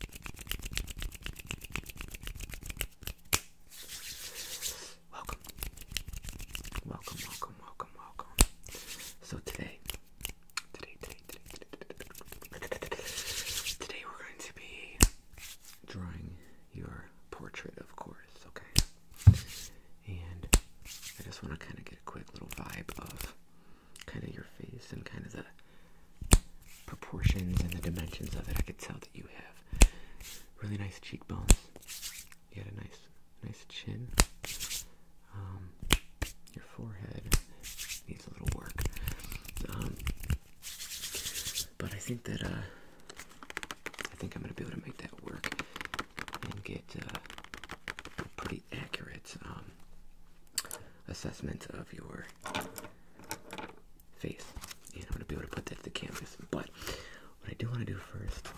Welcome, welcome, welcome, welcome, welcome. So today, today, today, today, today, we're going to be drawing your portrait, of course, okay? And I just want to kind of get a quick little vibe of kind of your face and kind of the proportions and the dimensions of it. I could tell that you have really nice cheekbones. You had a nice, nice chin. Um, your forehead needs a little work. Um, but I think that uh, I think I'm gonna be able to make that work and get uh, pretty accurate. Um, assessment of your face. And I'm going to be able to put that to the canvas. But what I do want to do first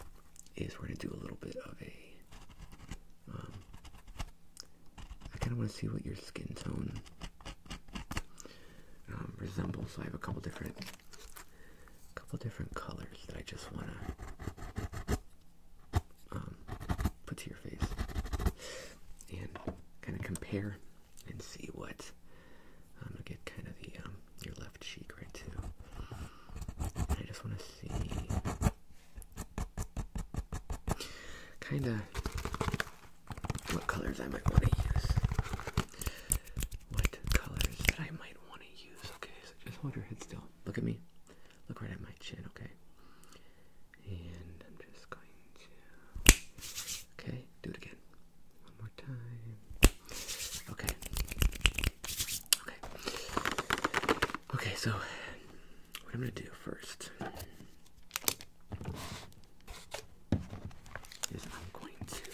is we're going to do a little bit of a. Um, I kind of want to see what your skin tone um, resembles. I have a couple different, couple different colors that I just want to um, put to your face. And kind of compare and see what I'm um, gonna get kind of the um, your left cheek right too. I just want to see kind of what colors I might want to use. What colors that I might want to use? Okay, just hold your head still. Look at me. Look right at my chin. Okay and I'm just going to. Okay, do it again. One more time. Okay. Okay. Okay, so what I'm going to do first is I'm going to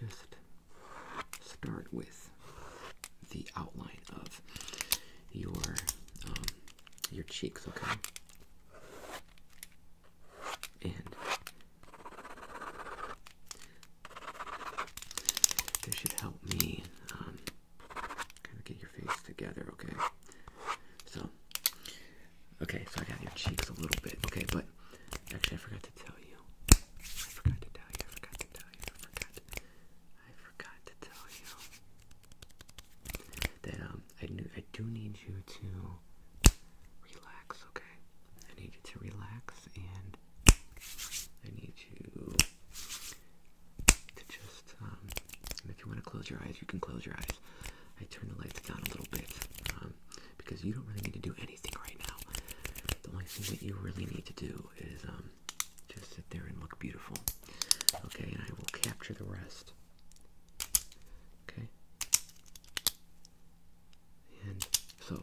just start with the outline of your um, your cheeks, okay? And this should help me um, kind of get your face together, okay? So, okay, so I got your cheeks a little bit, okay? But actually, I forgot to tell you. I forgot to tell you. I forgot to tell you. I forgot to tell you. Then um, I I do need you to relax. Okay, I need you to relax, and I need you to just. Um, if you want to close your eyes, you can close your eyes. I turn the lights down a little bit um, because you don't really need to do anything right now. The only thing that you really need to do is um, just sit there and look beautiful. Okay, and I will capture the rest Okay. And so,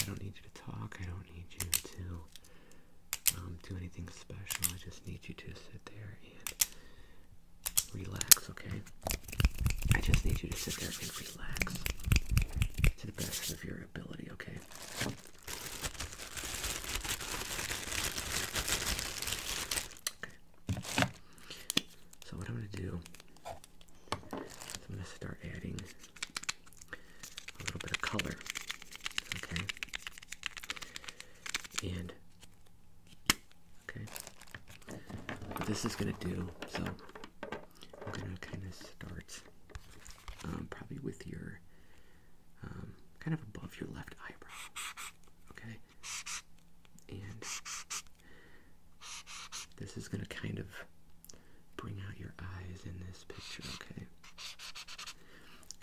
I don't need you to talk. I don't need you to um, do anything special. I just need you to sit there and relax, okay? I just need you to sit there and relax to the best of your ability, okay? So what I'm gonna do I'm gonna start adding a little bit of color. Okay. And okay. this is gonna do, so I'm gonna kinda start um, probably with your um, kind of above your left eyebrow. Okay? And this is going to kind of bring out your eyes in this picture, okay?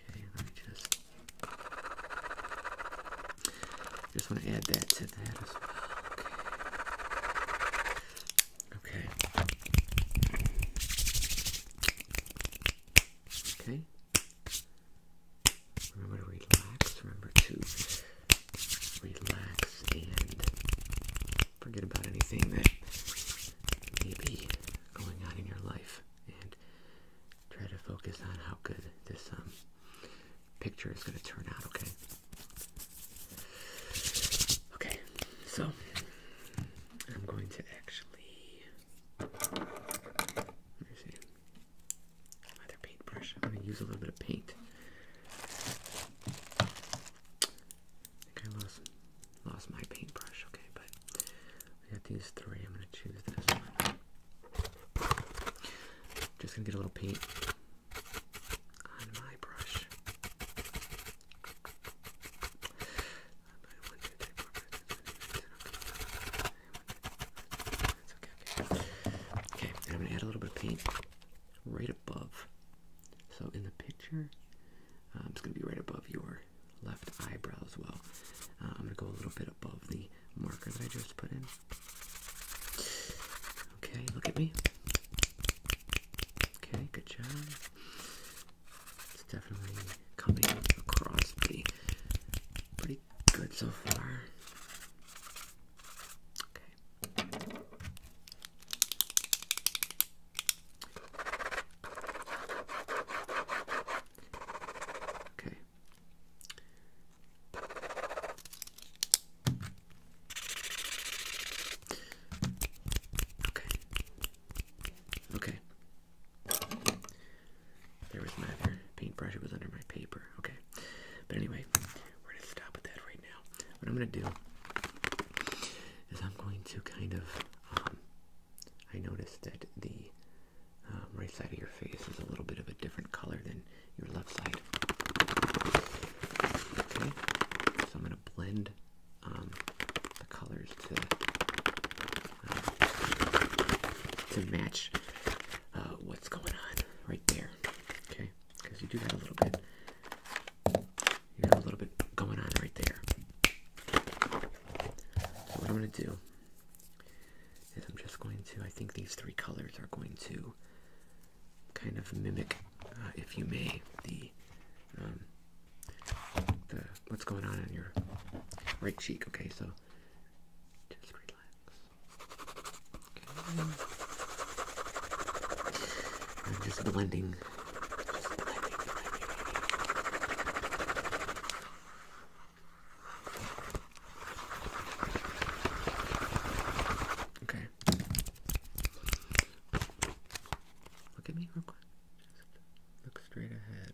Okay, let me just. Just want to add that to that as well. Okay. Okay. Remember to relax. Remember to relax and forget about anything that may be going on in your life and try to focus on how good this um, picture is going to turn out, okay? Okay, so I'm going to actually Another paintbrush. I'm gonna use a little bit of paint. I think I lost lost my paintbrush. Okay, but I got these three. I'm gonna choose this one. Just gonna get a little paint on my brush. Okay, I'm going to add a little bit of paint right above. So in the picture, um, it's going to be right above your left eyebrow as well. Uh, I'm going to go a little bit above the marker that I just put in. Okay, look at me. Okay, good job. It's definitely coming across the pretty good so far. Okay. Okay. Okay. Okay. There was my paintbrush. It was under my paper. Okay. But anyway, we're going to stop with that right now. What I'm going to do is I'm going to kind of... Um, I noticed that the um, right side of your face is a little bit of a different color than your left side. Okay. So I'm going to blend um, the colors to to match uh, what's going on right there. Okay, because you do have a little bit, you have a little bit going on right there. So what I'm going to do is I'm just going to. I think these three colors are going to kind of mimic, uh, if you may, the. Um, the, what's going on in your right cheek okay so just relax. I'm just blending. blending. Okay. Look at me real quick. Just look straight ahead.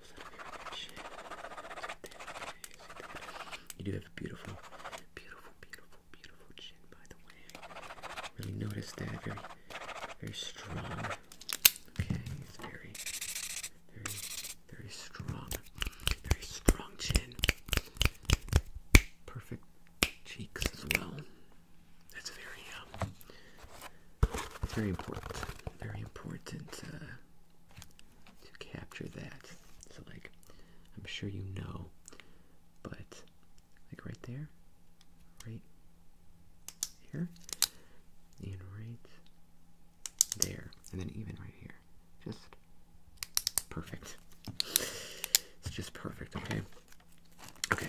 You do have a beautiful, beautiful, beautiful, beautiful chin, by the way. Really notice that. Very, very strong. Okay, it's very, very, very strong. Very strong chin. Perfect cheeks as well. That's very, um, very important. Very important. Uh, to capture that. So like I'm sure you know, but like right there, right here, and right there, and then even right here. Just perfect. It's just perfect, okay? Okay.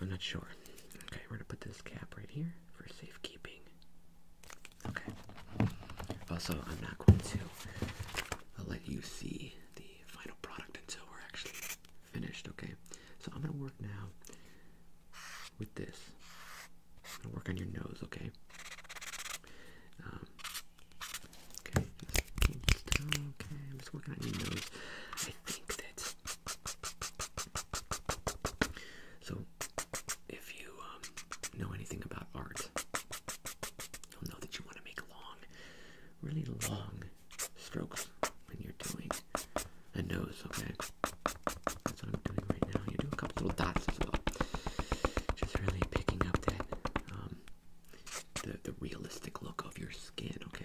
I'm not sure. Okay, we're gonna put this cap right here for safekeeping. Okay. Also, I'm not going to uh, let you see the final product until we're actually finished, okay? So I'm gonna work now with this. I'm gonna work on your nose, okay? Um, okay, okay, I'm just working on your nose. I think that so, if you um, know anything about art, you'll know that you want to make long, really long strokes when you're doing a nose, okay? That's what I'm doing right now. You do a couple little dots as well. Just really picking up that, um, the, the realistic look of your skin, okay?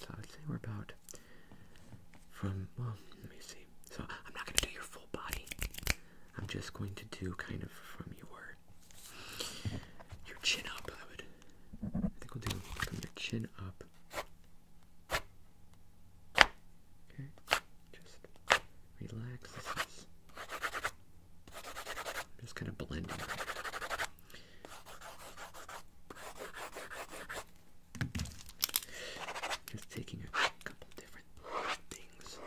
So I'd say we're about from, well, let me see. So I'm not going to do your full body. I'm just going to do kind of from your your chin up. I would, I think we'll do from your chin up. Okay, just relax. just kind of blending. Just taking a couple different things.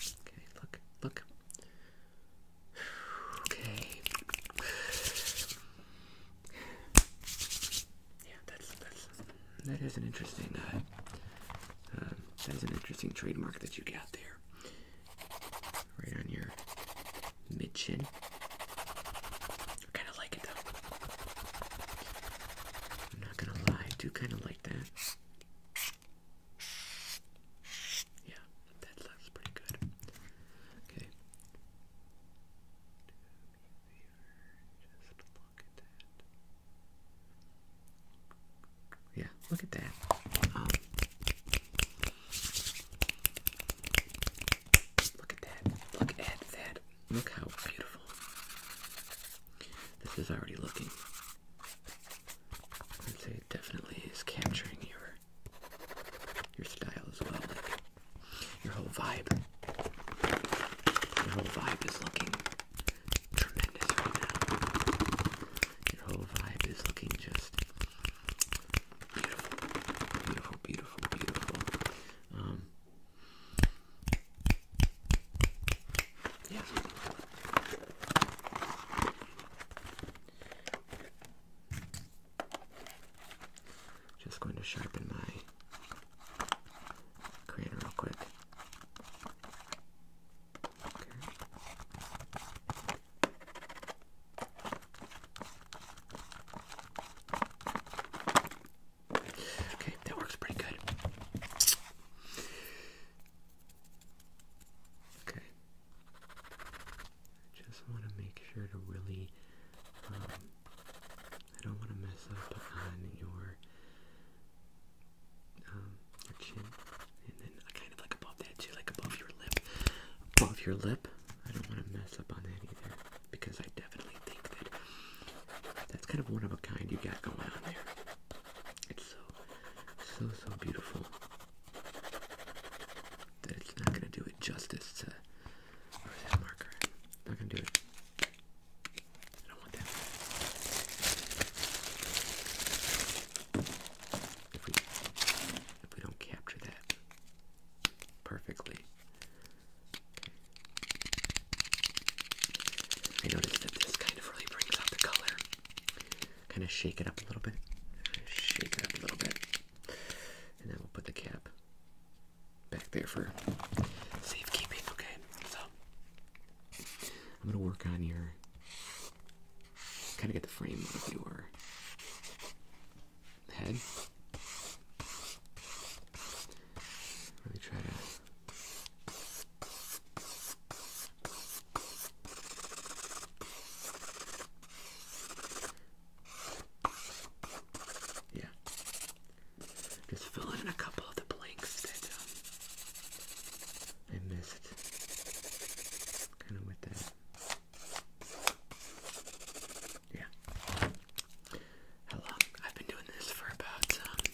Okay, look, look. Okay. Yeah, that's that's that is an interesting uh, uh, that is an interesting trademark that you got there. Right on your mid chin. I kind of like it though. I'm not gonna lie, I do kind of like that. Yeah, that looks pretty good. Okay. that. Yeah, look at that. Um, look at that. Look at that. Look how beautiful. This is already looking. I'd say it definitely is capturing your your style as well. Like your whole vibe. Your whole vibe is looking tremendous right now. Your whole vibe is looking just beautiful, beautiful, beautiful, beautiful. Um, yeah. Just going to sharpen my crayon real quick. Okay. that works pretty good. Okay. just want to make sure to really, um, I don't want to mess up on your um, your chin, and then kind of like above that too, like above your lip, above your lip. I don't want to mess up on that either because I definitely think that that's kind of one of a kind you got going on there. It's so, so, so beautiful that it's not gonna do it justice to. Where's that marker? Not gonna do it I do that. if we don't capture that perfectly, I noticed that this kind of really brings out the color. Kind of shake it up a little bit. Shake it up a little bit. And then we'll put the cap back there for safekeeping, okay? So I'm gonna work on your kind of get the frame of your head. Really try to. Yeah. Just fill in a couple of the blanks um, I missed kind of with that. Yeah. How I've been doing this for about, um,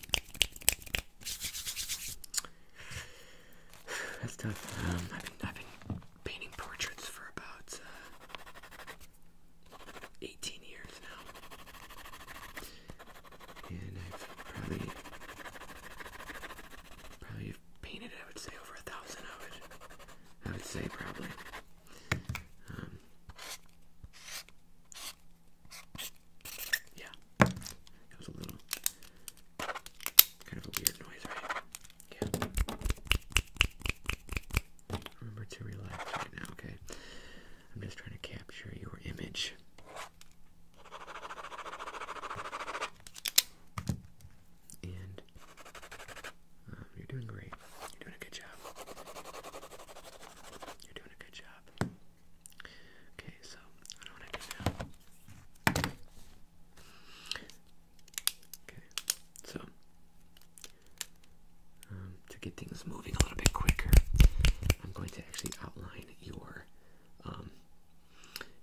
that's tough. Um, I've been, painting portraits for about, uh, 18 years now and I've probably probably painted I would say over a thousand of it. I would say probably. Um, yeah, it was a little kind of a weird noise, right? Yeah. Remember to relax right now, okay? I'm just trying to capture your image. And um, you're doing great. You're doing a good job. You're doing a good job. Okay, so I don't want to do now. Okay, so um, to get things moving a little bit quicker, I'm going to actually outline your um,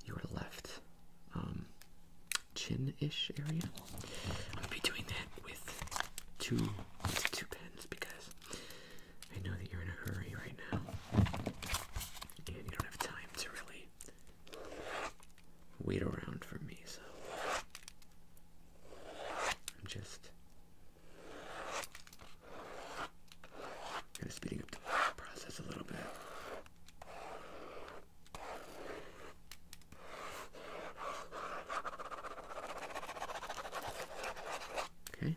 your left um, chin-ish area. I'm gonna be doing that with two two pens because I know that you're in a hurry right now, and you don't have time to really wait around for me. So I'm just Kind of speeding up the process a little bit. Okay.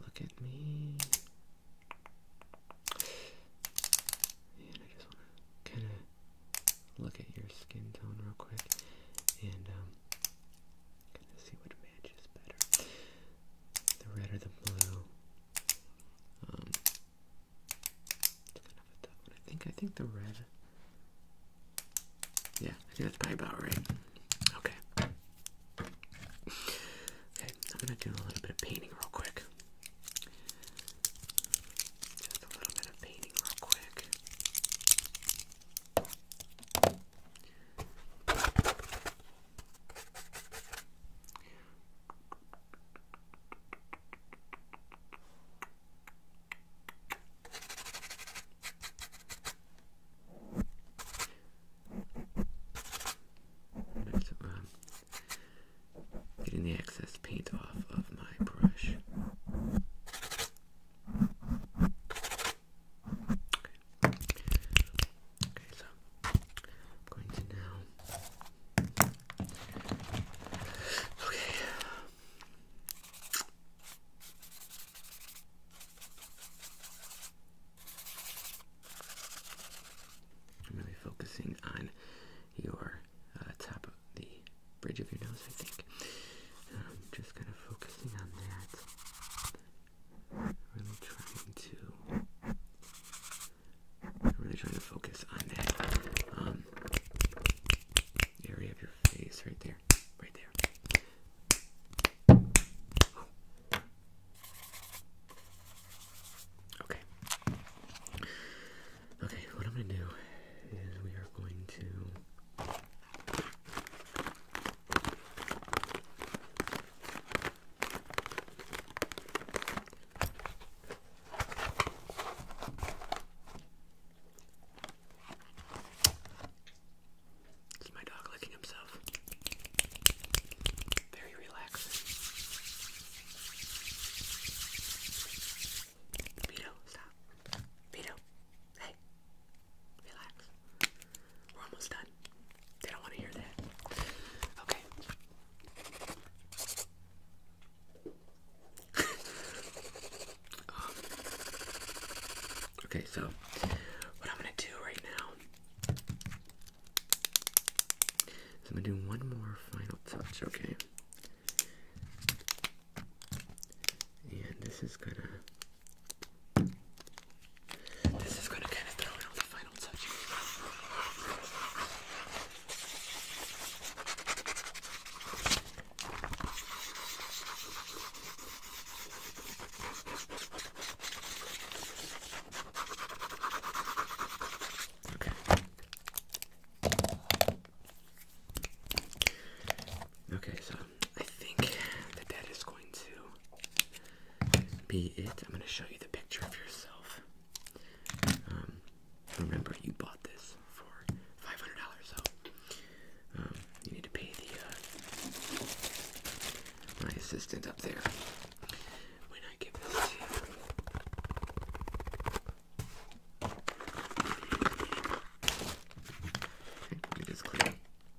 look at me. And I just want to kind of look at your skin tone real quick and um, see what matches better. The red or the blue. Um I think I think the red Yeah, I think that's probably about right. Okay. Okay, I'm gonna do a little bit of painting real quick. Just a little bit of painting real quick. That's, um, getting the excess paint off of my brush. Okay, so I'm going to now. Okay. I'm going to be focusing on your uh, top of the bridge of your nose, I think. I'm um, just kind of focusing on that. Really trying to. I'm really trying to focus on that um, area of your face right there, right there. Okay. Okay, what I'm going to do is we are going to this is my dog licking himself. Very relaxing. Vito, stop. Vito, hey, relax. We're almost done. They don't want to hear that. Okay. okay, so what I'm going to do right now is I'm going to do one more final touch, okay? And this is going to this is going to kind of throw in the final touches. Okay. Okay, so I think that is going to be it. I'm going to show you the picture of yourself. Um, remember, you bought this for $500, so um, you need to pay the uh, my assistant up there when I give this to you. let me just clear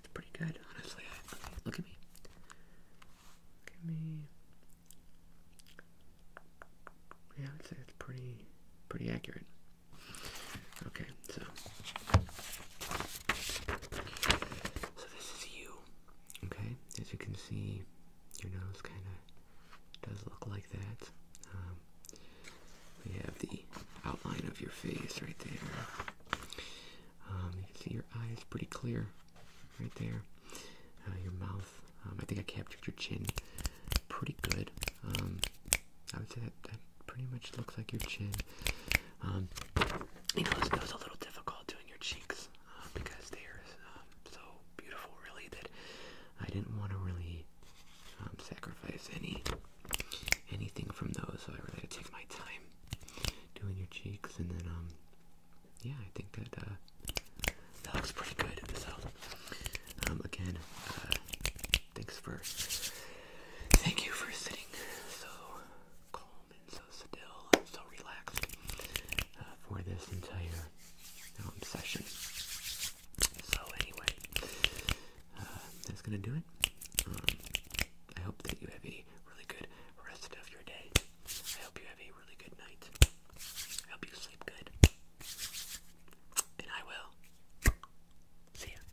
it's pretty good, honestly. look at me. Look at me. Yeah, I'd say it's pretty, pretty accurate. Okay, so. So this is you. Okay, as you can see, your nose kind of does look like that. Um, we have the outline of your face right there. Um, you can see your eyes pretty clear right there. Uh, your mouth. Um, I think I captured your chin pretty good. Um, I would say that, that pretty much looks like your chin. you know, it was a little difficult doing your cheeks uh, because they are so beautiful, really, that I didn't want to really sacrifice any anything from those. So I really gotta take my time doing your cheeks, and then um, yeah, I think that uh, that looks pretty good. So um, again, uh, thanks for thank you for sitting so calm and so still and so relaxed uh, for this entire um, session. So anyway, uh, that's gonna do it. Um, I hope that you have a really good rest of your day. I hope you have a really good night. I hope you sleep good. And I will. See ya.